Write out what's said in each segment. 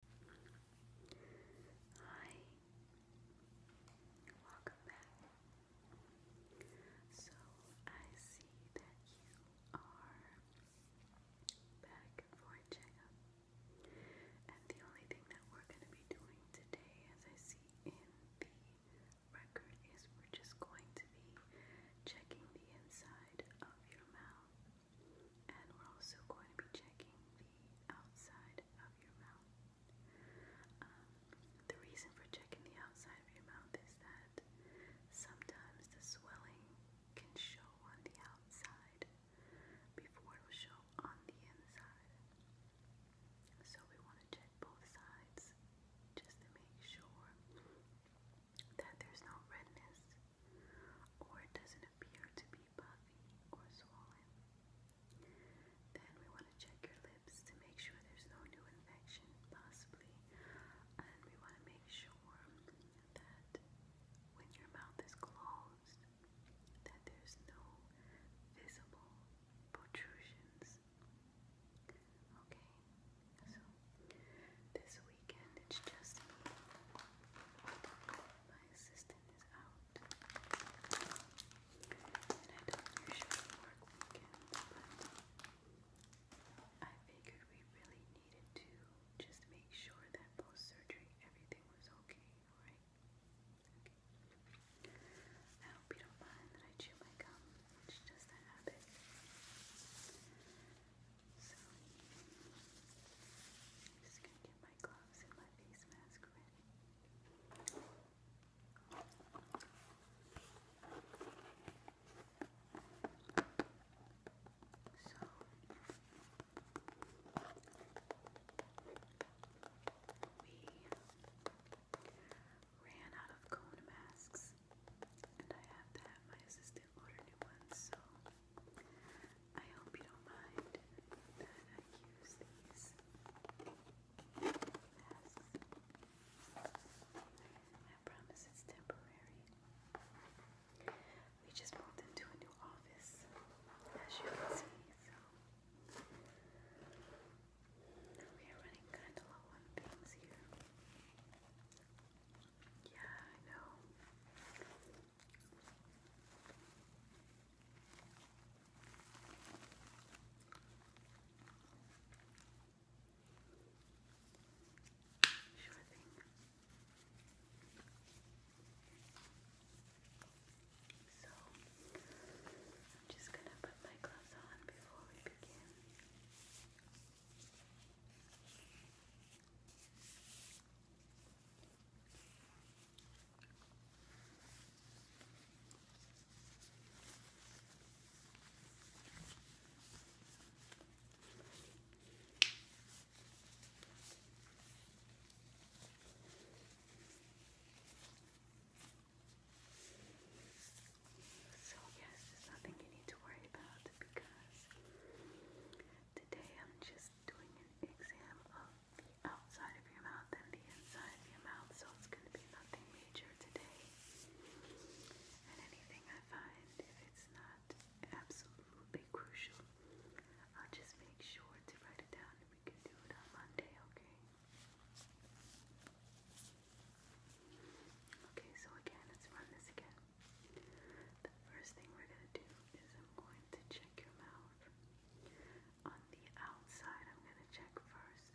Hi, welcome back. So I see that you are back for a checkup, and the only thing that we're going to be doing today, as I see in the record, is we're just going to be checking the inside of your mouth. And we're also going to be checking the outside of your mouth. Um, the reason for checking the outside of your mouth is that sometimes the swelling can show on the outside before it will show on the inside. So we want to check both sides just to make sure that there's no redness or it doesn't appear to be puffy or swollen. Then we want to check your lips to make sure there's no new infection, possibly. And we want to make sure that when your mouth is closed, that there's no visible protrusions. Okay, so this weekend, it's just me. My assistant is out. And I don't usually work weekends, but I figured we really needed to just make sure that post surgery everything was okay, alright? Okay. I you don't mind that I chew my gum. It's just a habit. So, I'm just going to get my gloves and my face mask ready. So, we ran out of cone masks, and I have to have my assistant order new ones, so I hope you don't mind that I use these I promise it's temporary. We just moved into a new office, as you can see, so we are running kind of low on things here. Yeah, I know. Sure thing. So, I'm just going to put my gloves on before we begin. So yes, there's nothing you need to worry about today I'm just doing an exam of the outside of your mouth and the inside of your mouth, so it's going to be nothing major today. And anything I find, if it's not absolutely crucial, I'll just make sure to write it down and we can do it on Monday, okay? Okay, so again, let's run this again. The first thing we're going to do is I'm going to check your mouth. On the outside, I'm going to check first.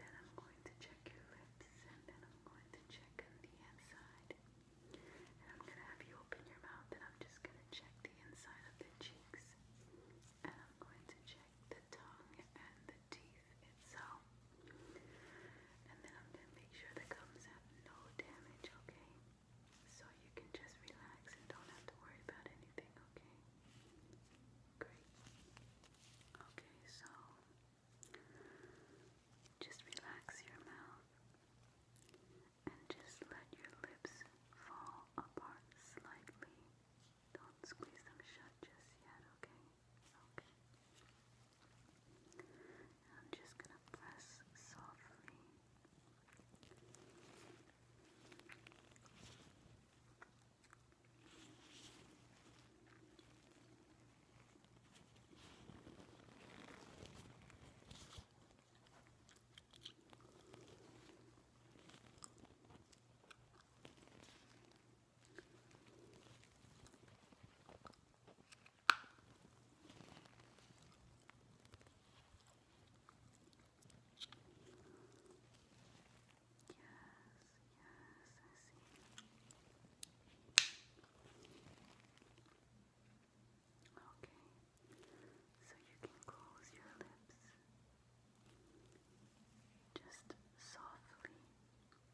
Then I'm going to check your lips. And then I'm going to check the inside. And I'm going to have you open your mouth and I'm just going to check the inside of the cheeks. And I'm going to check the tongue and the the And then I'm going to make sure the gums have no damage, okay? So you can just relax and don't have to worry about anything, okay? Great. Okay, so just relax your mouth and just let your lips fall apart slightly. Don't squeeze them shut just yet, okay? Okay. I'm just going to press softly so you can close your lips just softly,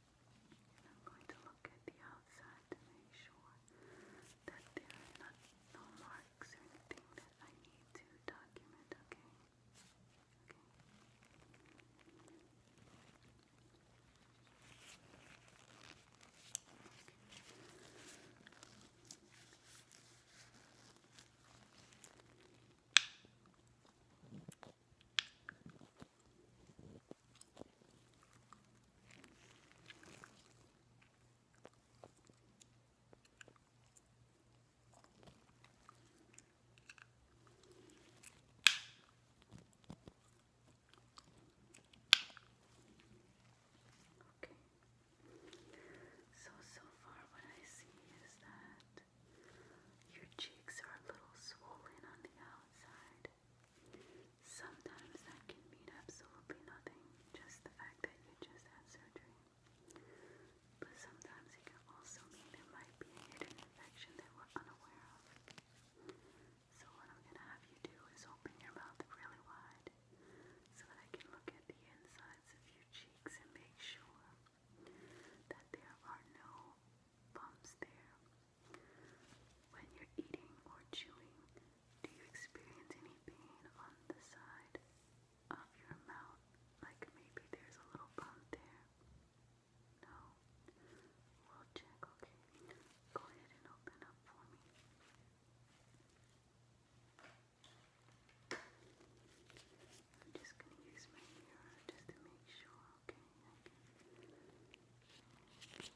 and I'm going to look at the outside to make sure that there are not, no marks or anything that I need to document, Okay. Okay. Okay. So so far what I see is that your cheeks are a little swollen on the outside. Sometimes that can mean absolutely nothing, just the fact that you just had surgery. But sometimes it can also mean there might be a hidden infection that we're unaware of. So, what I'm going to have you do is open your mouth really wide so that I can look at the insides of your cheeks and make sure that there are no bumps there. When you're eating or chewing, do you experience any pain on the side of your mouth? Like maybe there's a little bump there? No? We'll check, okay? Go ahead and open up for me. I'm just going to use my mirror just to make sure, okay? okay. Let's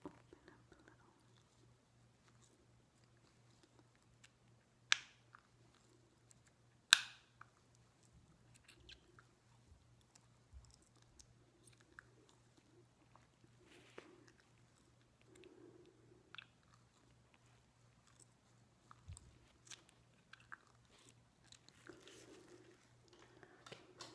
open up a little. Does that hurt a little bit at all? Looks like. Okay.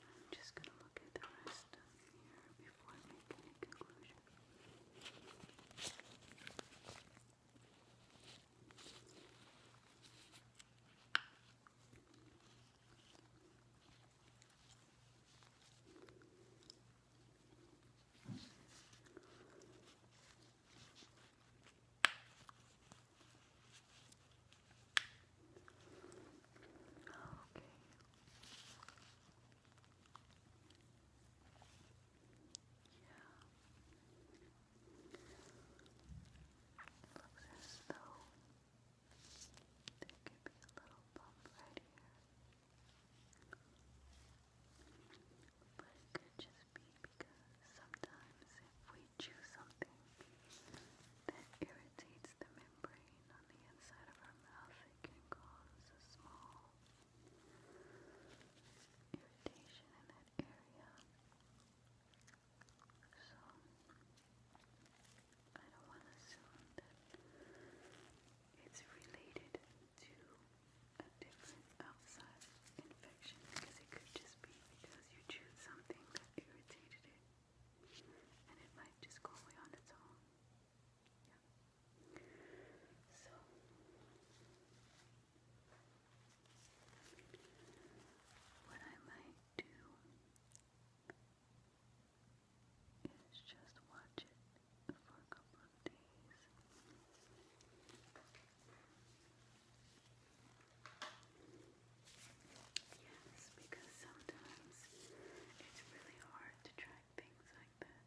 I'm just going to look at the rest of here before I make conclusion. Okay. Yeah. looks as though there could be a little bump right here. But it could just be because sometimes if we chew something that irritates the membrane on the inside of our mouth, it can cause a small irritation in that area. So, I don't want to assume that it's related to a different outside infection because it could just be because you chewed something that irritated it and it might just go away on its own. Yeah. So what I might do is just watch it for a couple of days. Yes, because sometimes it's really hard to track things like that.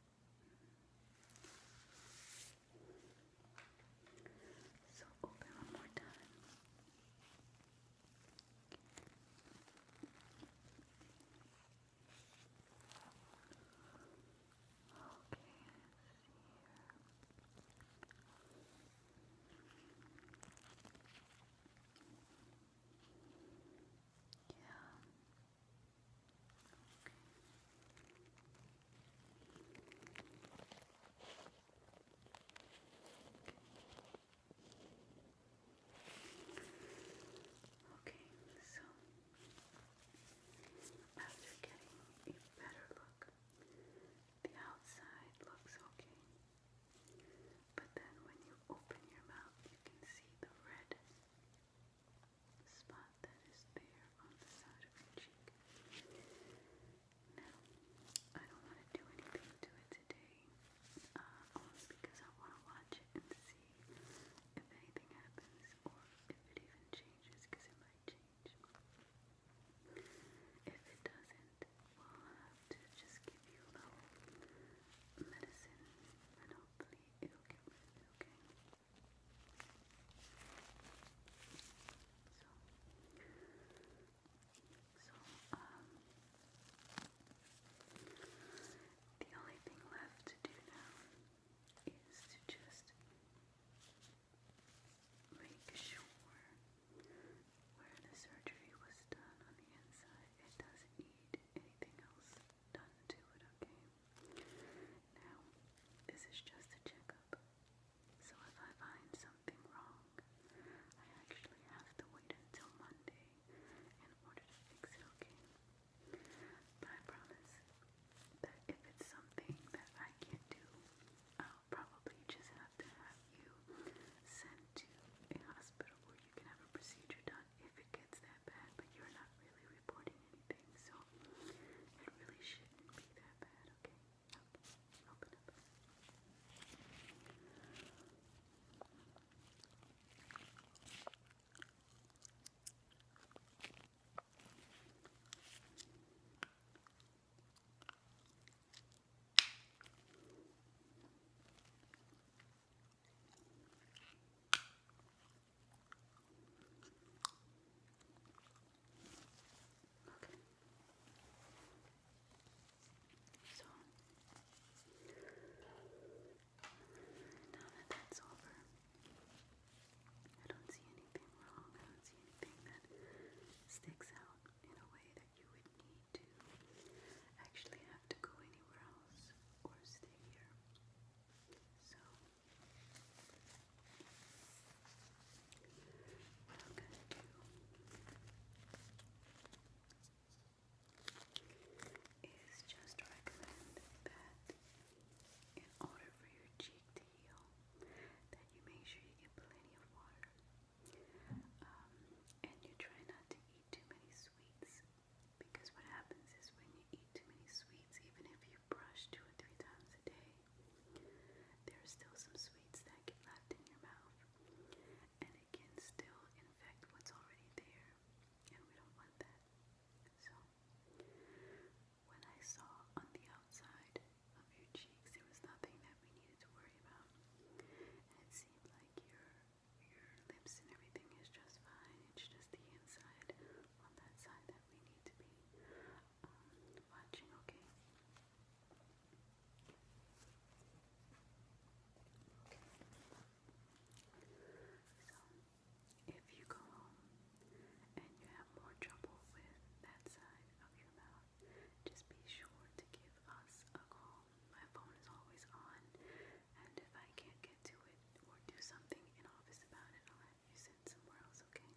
So open one more time. Okay, here. Yeah. Okay. Okay, so after getting a better look, the outside looks okay. But then when you open your mouth, you can see the red spot that is there on the side of your cheek. Now, I don't want to do anything to it today, uh, only because I want to watch it and see if anything happens or if it even changes, because it might change. If it doesn't, we'll have to just give you a medicine and hopefully it'll get rid of So, um, the only thing left to do now is to just make sure where the surgery was done on the inside. It doesn't need anything else done to it, okay? Now, this is just a checkup. So if I find something wrong, I actually have to wait until Monday in order to fix it, okay? But I promise that if it's something that I can't do, I'll probably just have to have you sent to a hospital where you can have a procedure done if it gets that bad, but you're not really reporting anything, so it really shouldn't be that bad, okay? Okay, open up. Okay, Okay. So now that that's over, I don't see anything wrong. I don't see anything that sticks out in a way that you would need to actually have to go anywhere else or stay here. So, what I'm going to do is just recommend that in order for your cheek to video that you make sure you get plenty of water um, and you try not to eat too many sweets because what happens is when you eat too many sweets, even if you brush two or three times a day, there are still some sweets that get left in your mouth and it can still infect what's already there and we don't want that. When I saw on the outside of your cheeks, there was nothing that we needed to worry about. it seemed like your your lips and everything is just fine. It's just the inside on that side that we need to be um, watching, Okay. So, if you go home and you have more trouble with that side of your mouth, just be sure to give us a call. My phone is always on, and if I can't get to it or do something in office about it, I'll have you sent somewhere else, okay?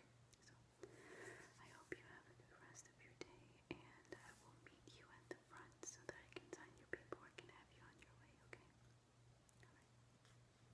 Okay, so I hope you have a good rest of your day, and I will meet you at the front so that I can sign your paperwork and have you on your way, okay? Alright.